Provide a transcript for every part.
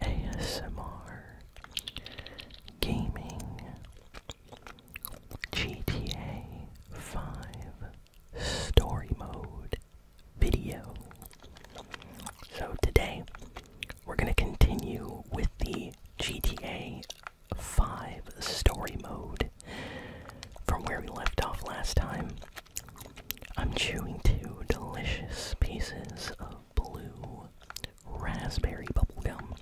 ASMR, gaming, GTA 5 story mode video. So today we're going to continue with the GTA 5 story mode from where we left off last time. I'm chewing two delicious pieces of blue raspberry bubblegum.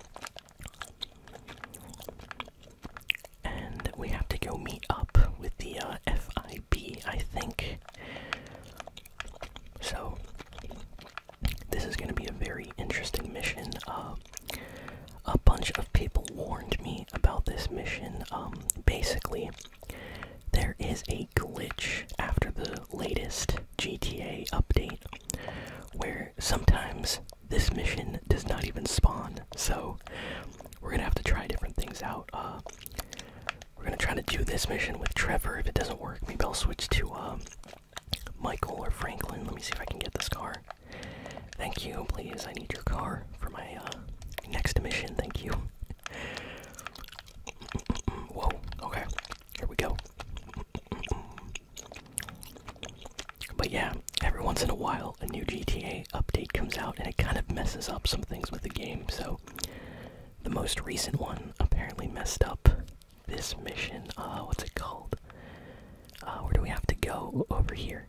And we have to go meet up with the uh, FIB, I think. So, this is going to be a very interesting mission. Uh, a bunch of people warned me about this mission. Um, basically, there is a glitch after the latest GTA update where sometimes this mission does not even spawn. So we're gonna have to try different things out. Uh, we're gonna try to do this mission with Trevor. If it doesn't work, maybe I'll switch to uh, Michael or Franklin. Let me see if I can get this car. Thank you, please. I need your car for my uh, next mission. Thank you. Whoa, okay, here we go. But yeah, every once in a while a new GTA update comes out and it kind of messes up some things with the game. So the most recent one apparently messed up this mission. Uh, what's it called? Uh, where do we have to go? Over here.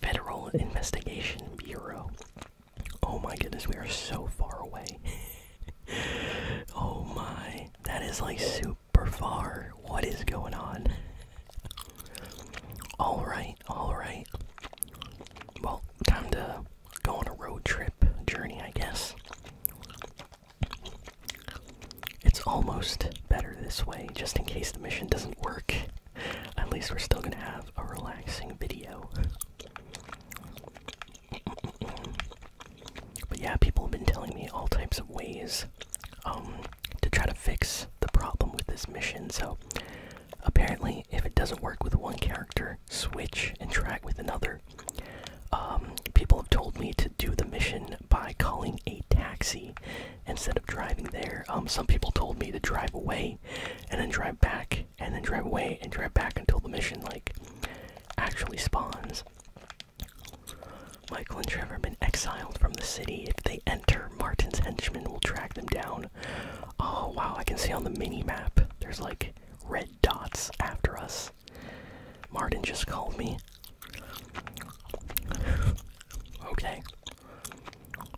Federal Investigation Bureau. Oh my goodness, we are so far away. oh my, that is like super far. What is going on? Alright, alright. Well, time to go on a road trip journey, I guess. It's almost better this way, just in case the mission doesn't work. At least we're still gonna have a relaxing video but yeah, people have been telling me all types of ways um, to try to fix the problem with this mission. So apparently, if it doesn't work with one character, switch and try with another. Um, people have told me to do the mission by calling a taxi instead of driving there. Um, some people told me to drive away and then drive back and then drive away and drive back until the mission like actually spawns. Michael and Trevor have been exiled from the city. If they enter, Martin's henchmen will track them down. Oh wow, I can see on the mini map there's like red dots after us. Martin just called me. okay.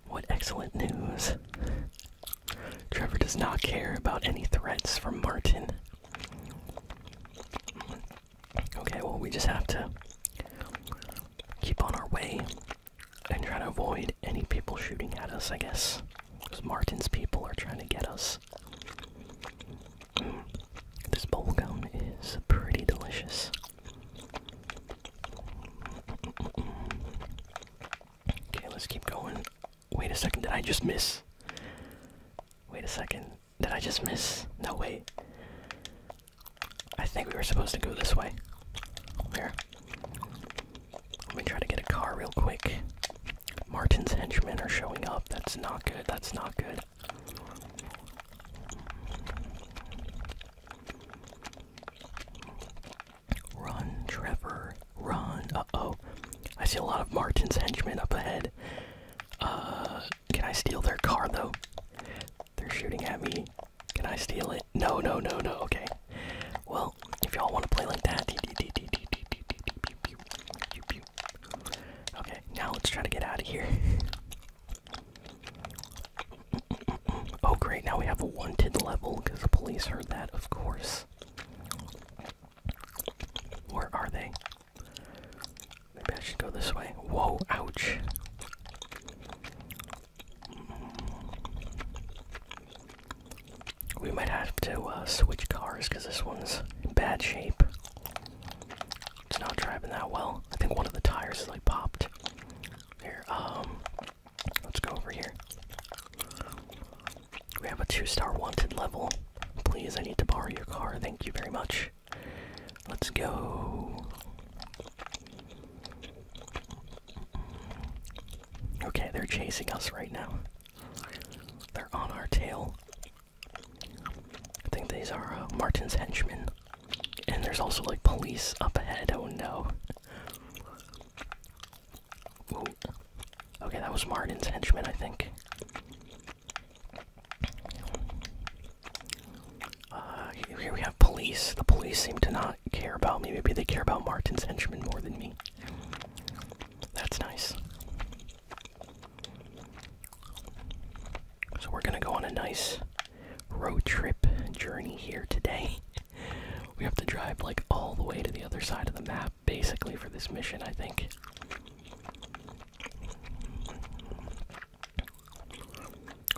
What excellent news. Trevor does not care about any threats from Martin. Okay, well, we just have to keep on our way and try to avoid any people shooting at us, I guess. Because Martin's people are trying to get us. Mm. This This bubblegum is pretty delicious. Okay, let's keep going Wait a second, did I just miss? Wait a second, did I just miss? No, wait. I think we were supposed to go this way. Here. Let me try to get a car real quick. Martin's henchmen are showing up. That's not good. That's not good. Run, Trevor, run. Uh oh. I see a lot of Martin's henchmen up ahead. Uh, can I steal their car though? They're shooting at me. Can I steal it? No, no, no, no. Okay. Well, if y'all want to play like that. Okay, now let's try to get out of here. Oh, great. Now we have a wanted level because the police heard that, of course. Where are they? Maybe I should go this way. Whoa, ouch. We might have to uh, switch cars because this one's bad shape. It's not driving that well. I think one of the tires is like popped. Here, um, let's go over here. We have a two star wanted level. Please, I need to borrow your car. Thank you very much. Let's go. Okay, they're chasing us right now. They're on our tail. I think these are uh, Martin's henchmen. And there's also like police up ahead. Oh no. Okay, that was Martin's henchman, I think. Uh, here we have police. The police seem to not care about me. Maybe they care about Martin's Henchman more than me. That's nice. So we're gonna go on a nice road trip journey here today. we have to drive like all the way to the other side of the map basically for this mission, I think.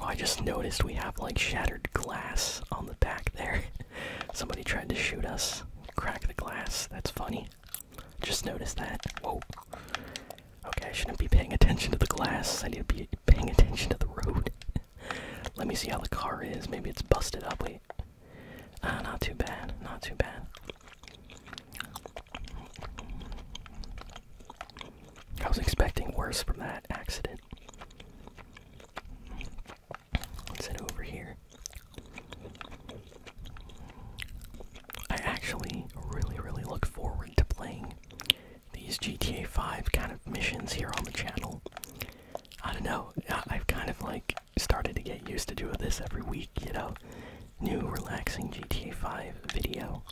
Oh, I just noticed we have like shattered glass on the back there. Somebody tried to shoot us, crack the glass. That's funny. Just noticed that. Whoa. Okay, I shouldn't be paying attention to the glass. I need to be paying attention to the road. Let me see how the car is. Maybe it's busted up. Wait. Ah, not too bad, not too bad. I was expecting worse from that accident. What's us over here. I actually really, really look forward to playing these GTA 5 kind of missions here on the channel. I don't know, I've kind of like started to get used to doing this every week, you know? New relaxing GTA 5 video.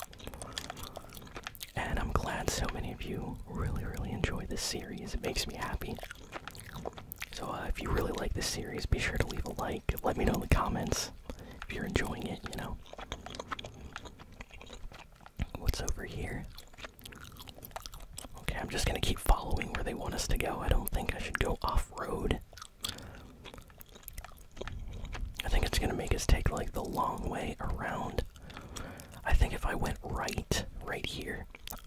And I'm glad so many of you really, really enjoy this series. It makes me happy. So uh, if you really like this series, be sure to leave a like. Let me know in the comments if you're enjoying it, you know? What's over here? Okay, I'm just gonna keep following where they want us to go. I don't think I should go off road. I think it's gonna make us take like the long way around. I think if I went right, right here,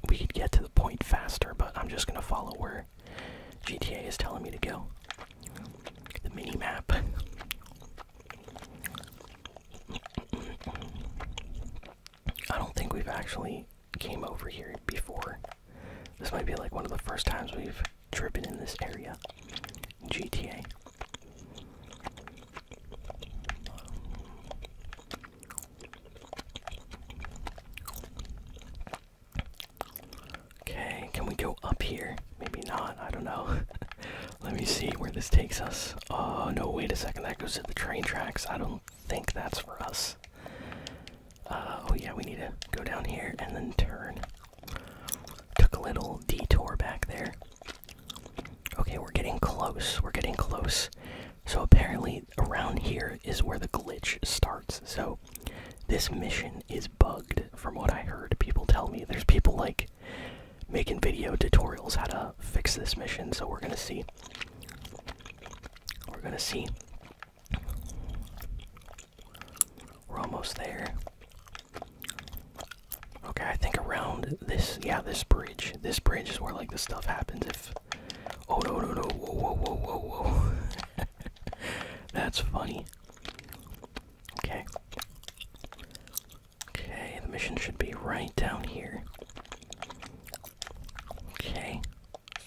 we could get to the point faster, but I'm just gonna follow where GTA is telling me to go. The mini map. I don't think we've actually came over here before. This might be like one of the first times we've driven in this area. GTA. Okay, can we go up here? Maybe not, I don't know. Let me see where this takes us. Oh, no, wait a second, that goes to the train tracks. I don't do think that's for us. Uh, oh yeah, we need to go down here and then turn. Took a little detour back there. Okay, we're getting close. We're getting close. So apparently around here is where the glitch starts. So this mission is bugged from what I heard people tell me. There's people like making video tutorials how to fix this mission, so we're gonna see. We're gonna see. We're almost there. Okay, I think around this, yeah, this bridge. This bridge is where like the stuff happens. If oh no no no whoa whoa whoa whoa whoa, that's funny. Okay, okay, the mission should be right down here. Okay,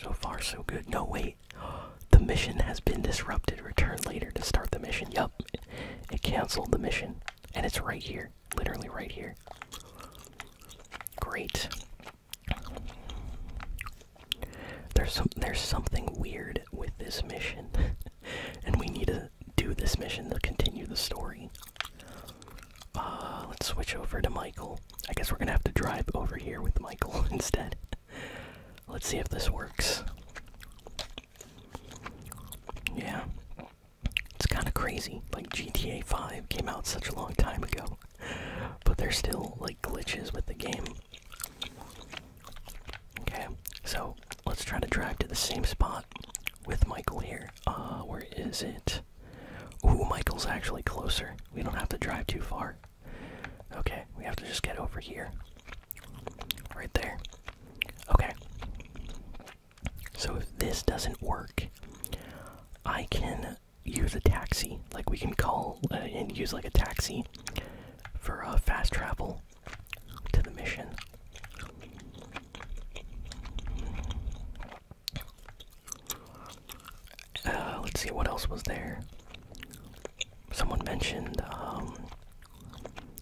so far, so good. No, wait. The mission has been disrupted. Return later to start the mission. Yup. It canceled the mission. And it's right here. Literally right here. Great. There's some there's something weird with this mission. and we need to do this mission to continue the story. Uh, let's switch over to Michael. I guess we're gonna have to drive over here with Michael instead. Let's see if this works. Yeah. It's kind of crazy. Like, GTA 5 came out such a long time ago, but there's still, like, glitches with the game. Okay, so let's try to drive to the same spot with Michael here. Uh, where is it? Ooh, Michael's actually closer. We don't have to drive too far. Okay, we have to just get over here. Right there. Okay. So if this doesn't work, I can use a taxi. Like we can call uh, and use like a taxi for a uh, fast travel to the mission. Uh, let's see what else was there. Someone mentioned um,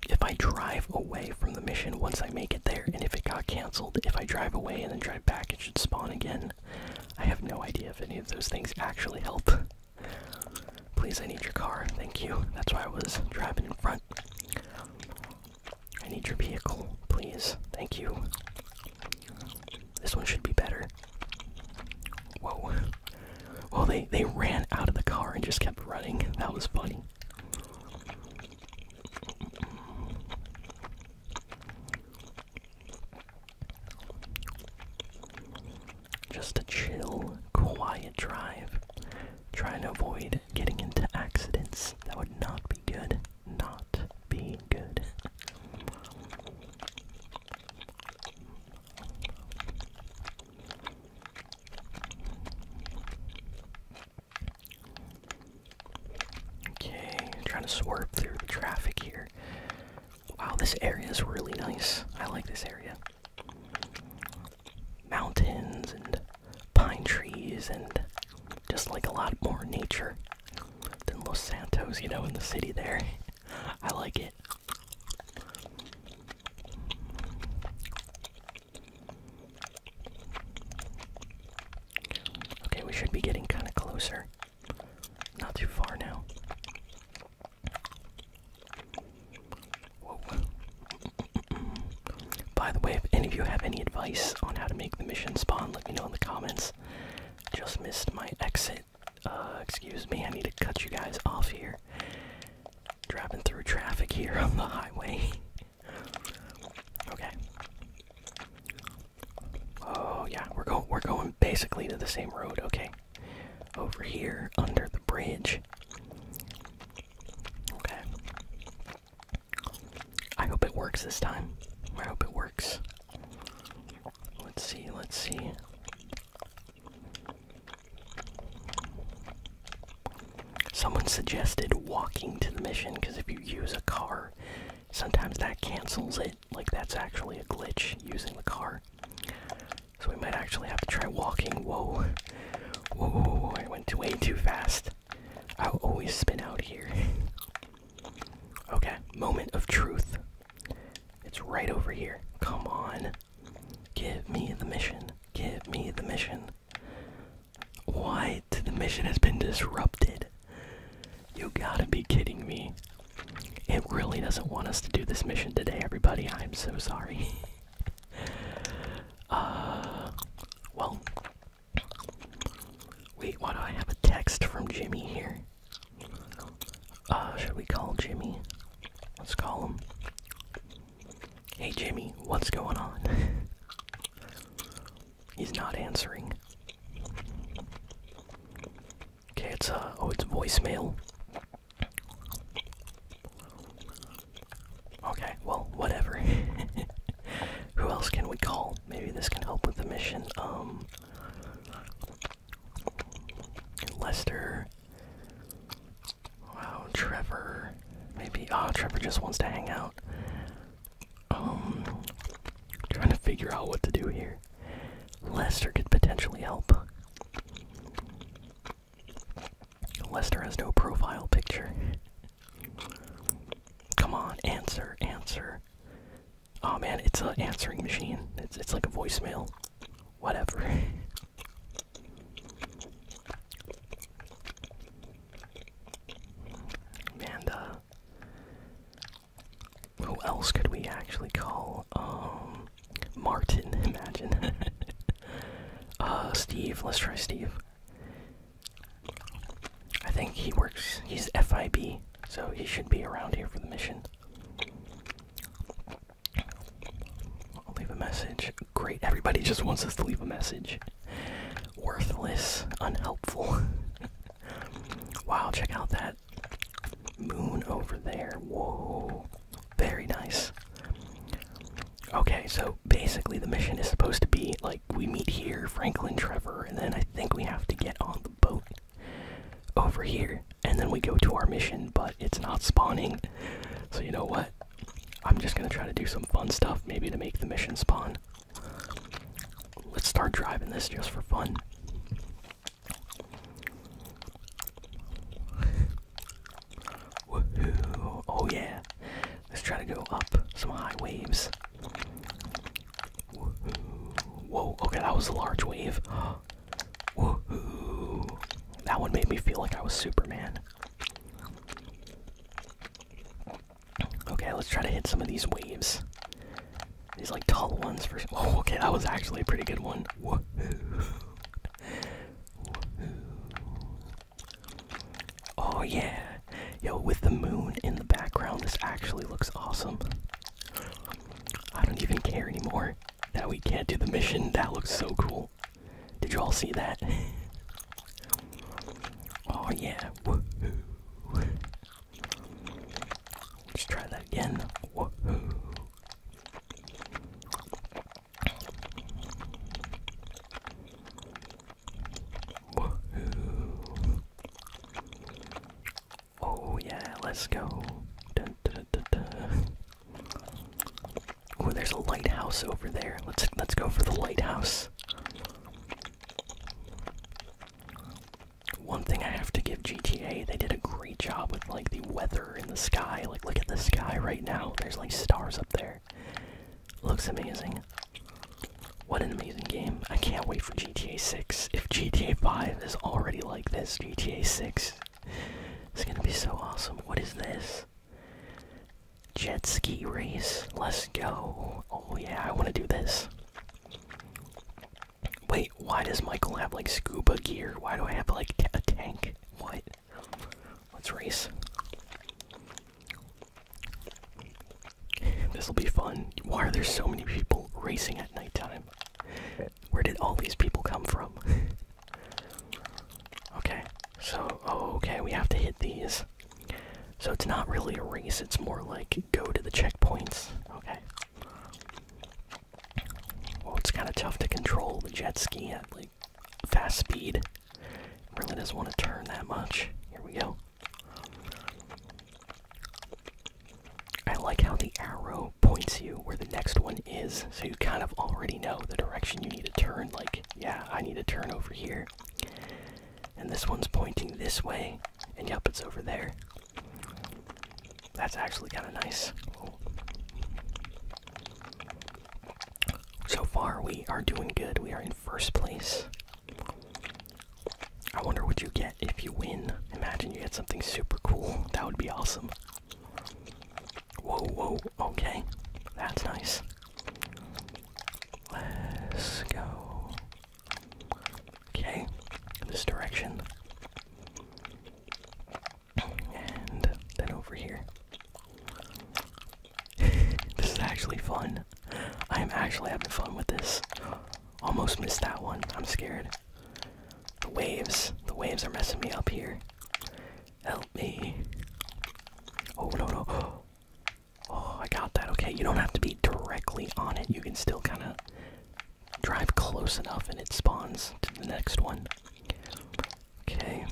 if I drive away from the mission once I make it there, and if it got canceled, if I drive away and then drive back, it should spawn again. I have no idea if any of those things actually help. Please, I need your car. Thank you. That's why I was driving in front. I need your vehicle. Please. Thank you. This one should be better. Whoa. Well, they, they ran out of the car and just kept running. That was funny. Just a chill, quiet drive. Trying to avoid getting into accidents. That would not be good not being good. Okay, trying to swerve through the traffic here. Wow, this area is really nice. I like this area. Mountains and pine trees and just like a lot more nature than Los Santos, you know, in the city there. I like it. Okay, we should be getting kind of closer. Not too far now. By the way, if any of you have any advice on how to make the mission spawn, let me know in the comments. Just missed my exit. Uh, excuse me, I need to cut you guys off here. Driving through traffic here on the highway. okay. Oh yeah, we're going. We're going basically to the same road. Okay. Over here, under the bridge. Okay. I hope it works this time. I hope it works. Let's see, let's see. Someone suggested walking to the mission because if you use a car, sometimes that cancels it. Like, that's actually a glitch using the car. So we might actually have to try walking. Whoa. Whoa, I went way too fast. I'll always spin out here. Okay, moment of truth. It's right over here. Come on. Give me the mission. Give me the mission. Why The mission has been disrupted. You gotta be kidding me. It really doesn't want us to do this mission today, everybody. I'm so sorry. uh, well. Wait, why do I have a text from Jimmy here? Uh, should we call Jimmy? Let's call him. Hey Jimmy, what's going on? He's not answering. Okay, it's uh oh, it's voicemail. Okay, well, whatever. Who else can we call? Maybe this can help with the mission. Um, Lester. Wow, Trevor. Maybe ah, Trevor just wants to hang out. Um, trying to figure out what to do here. Lester could potentially help. Lester has no profile picture. Come on, answer, answer. Oh man, it's an answering machine. It's it's like a voicemail. Whatever. man, uh, who else could we actually call? Um, Martin. Imagine. uh, Steve. Let's try Steve. I think he works. He's FIB. So he should be around here for the mission. I'll leave a message. Great, everybody just wants us to leave a message. Worthless, unhelpful. wow, check out that moon over there. Whoa, very nice. Okay, so basically the mission is supposed to be like we meet here, Franklin, Trevor, and then I think we have to get on the boat over here, and then we go to our mission, but it's not spawning. So, you know what? I'm just gonna try to do some fun stuff, maybe to make the mission spawn. Let's start driving this just for fun. Oh, yeah. Let's try to go up some high waves. Whoa, okay, that was a large wave. That one made me feel like I was Superman. Okay, let's try to hit some of these waves. These like tall ones for. Oh, okay, that was actually a pretty good one. Oh yeah, yo, with the moon in the background, this actually looks awesome. I don't even care anymore that we can't do the mission. That looks so cool. Did you all see that? oh, yeah. Woohoo. Let's try that again. Woohoo. Woohoo. Oh yeah, let's go. Dun, there's a lighthouse over there. Let's let's go for the lighthouse. One thing I have to give GTA, they did a great job with like the weather in the sky. Like look at the sky right now. There's like stars up there. Looks amazing. What an amazing amazing game. I can't wait for GTA 6. If GTA 5 is already like this, GTA 6 is gonna be so awesome. What is this? Jet ski race. Let's go. Oh yeah, I wanna do this. Wait, why does Michael have like scuba gear? Why do I have like a tank? What? Let's race. This'll be fun. Why are there so many people racing at nighttime? Where did all these people come from? okay, so, oh, okay, we have to hit these. So it's not really a race, it's more like go to the checkpoints. Okay. Well, it's kind of tough to control the jet ski at like fast speed. really doesn't want to turn that much. Here we go. I like how the arrow points you where the next one is, so you kind of already know the direction you need to turn. Like, yeah, I need to turn over here. And this one's pointing this way, and yep, it's over there. That's actually kind of nice. So far, we are doing good. We are in first place. I wonder what you get if you win. Imagine you get something super cool. That would be awesome. Whoa, whoa, okay. That's nice. Let's go. Okay, this direction. And then over here. this is actually fun. I am actually having fun with this. Almost missed that one. I'm scared. The waves. The waves are messing me up here. Help me. Oh, no, no. Oh, I got that. Okay, you don't have to be directly on it. You can still kind of drive close enough and it spawns to the next one. Okay,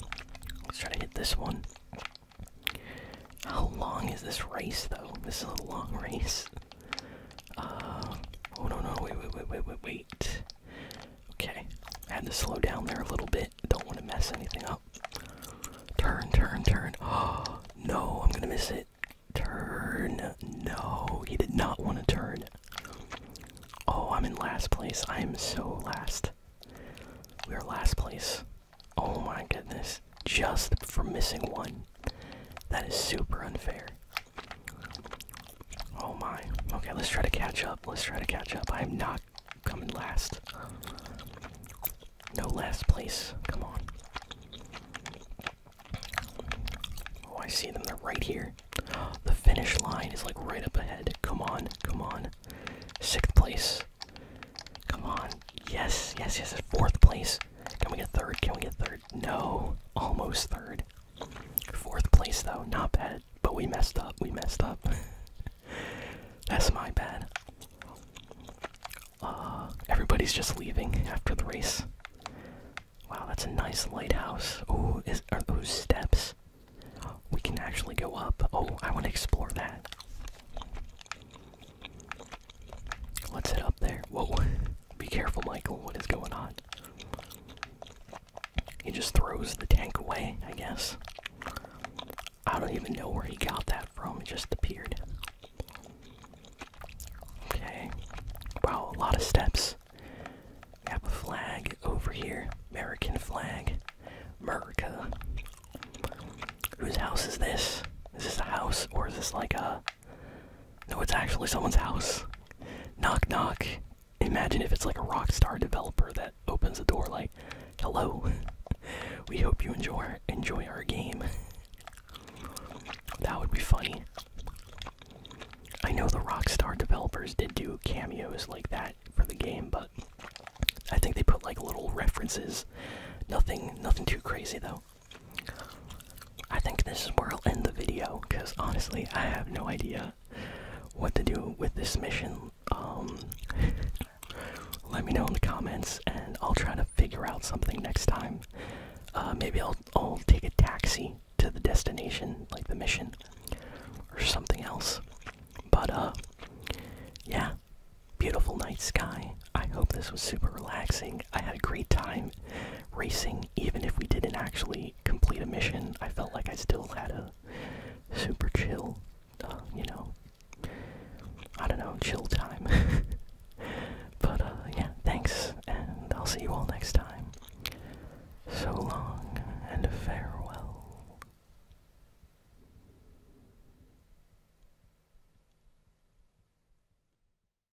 let's try to hit this one. How long is this race, though? This is a long race oh no, no, wait, wait, wait, wait, wait, wait. Okay, I had to slow down there a little bit. Don't want to mess anything up. Turn, turn, turn. Oh, no, I'm gonna miss it. Turn. No, he did not want to turn. Oh, I'm in last place. I am so last. We are last place. Oh my goodness. Just for missing one. That is super unfair. Oh my. Okay, let's try to catch up. Let's try to catch up. I am not coming last. No last place. Come on. Oh, I see them. They're right here. The finish line is like right up ahead. Come on. Come on. Sixth place. Come on. Yes. Yes, yes. Fourth place. Can we get third? Can we get third? No, almost third. Fourth place though, not bad. But we messed up. We messed up. That's my bad. Uh, everybody's just leaving after the race. Wow, that's a nice lighthouse. Oh, are those steps? We can actually go up. Oh, I want to explore that. Let's head up there. Whoa. Be careful, Michael. What is going on? He just throws the tank away, I guess. I don't even know where he got that from. It just appeared. Okay. Wow, a lot of steps. We a flag over here. American flag. America. Whose house is this? Is this a house or is this like a no, it's actually someone's house. Knock, knock. Imagine if it's like a rock star developer that opens the door like, "Hello, we hope you enjoy enjoy our game." That would be funny. I know the Rockstar developers did do cameos like that for the game, but I think they put like little references. Nothing, nothing too crazy though. I think this is where I'll end the video because honestly, I have no idea what to do with this mission. Um, let me know in the comments, and I'll try to figure out something next time. Uh, maybe I'll take a taxi to the destination, like the mission, or something else. But uh, yeah, beautiful night sky. I hope this was super relaxing. I had a great time racing, even if we didn't actually complete a mission, I felt like I still had a super chill, uh, you know, I don't know, chill time. but uh, yeah, thanks, and I'll see you all next time. So long, and farewell.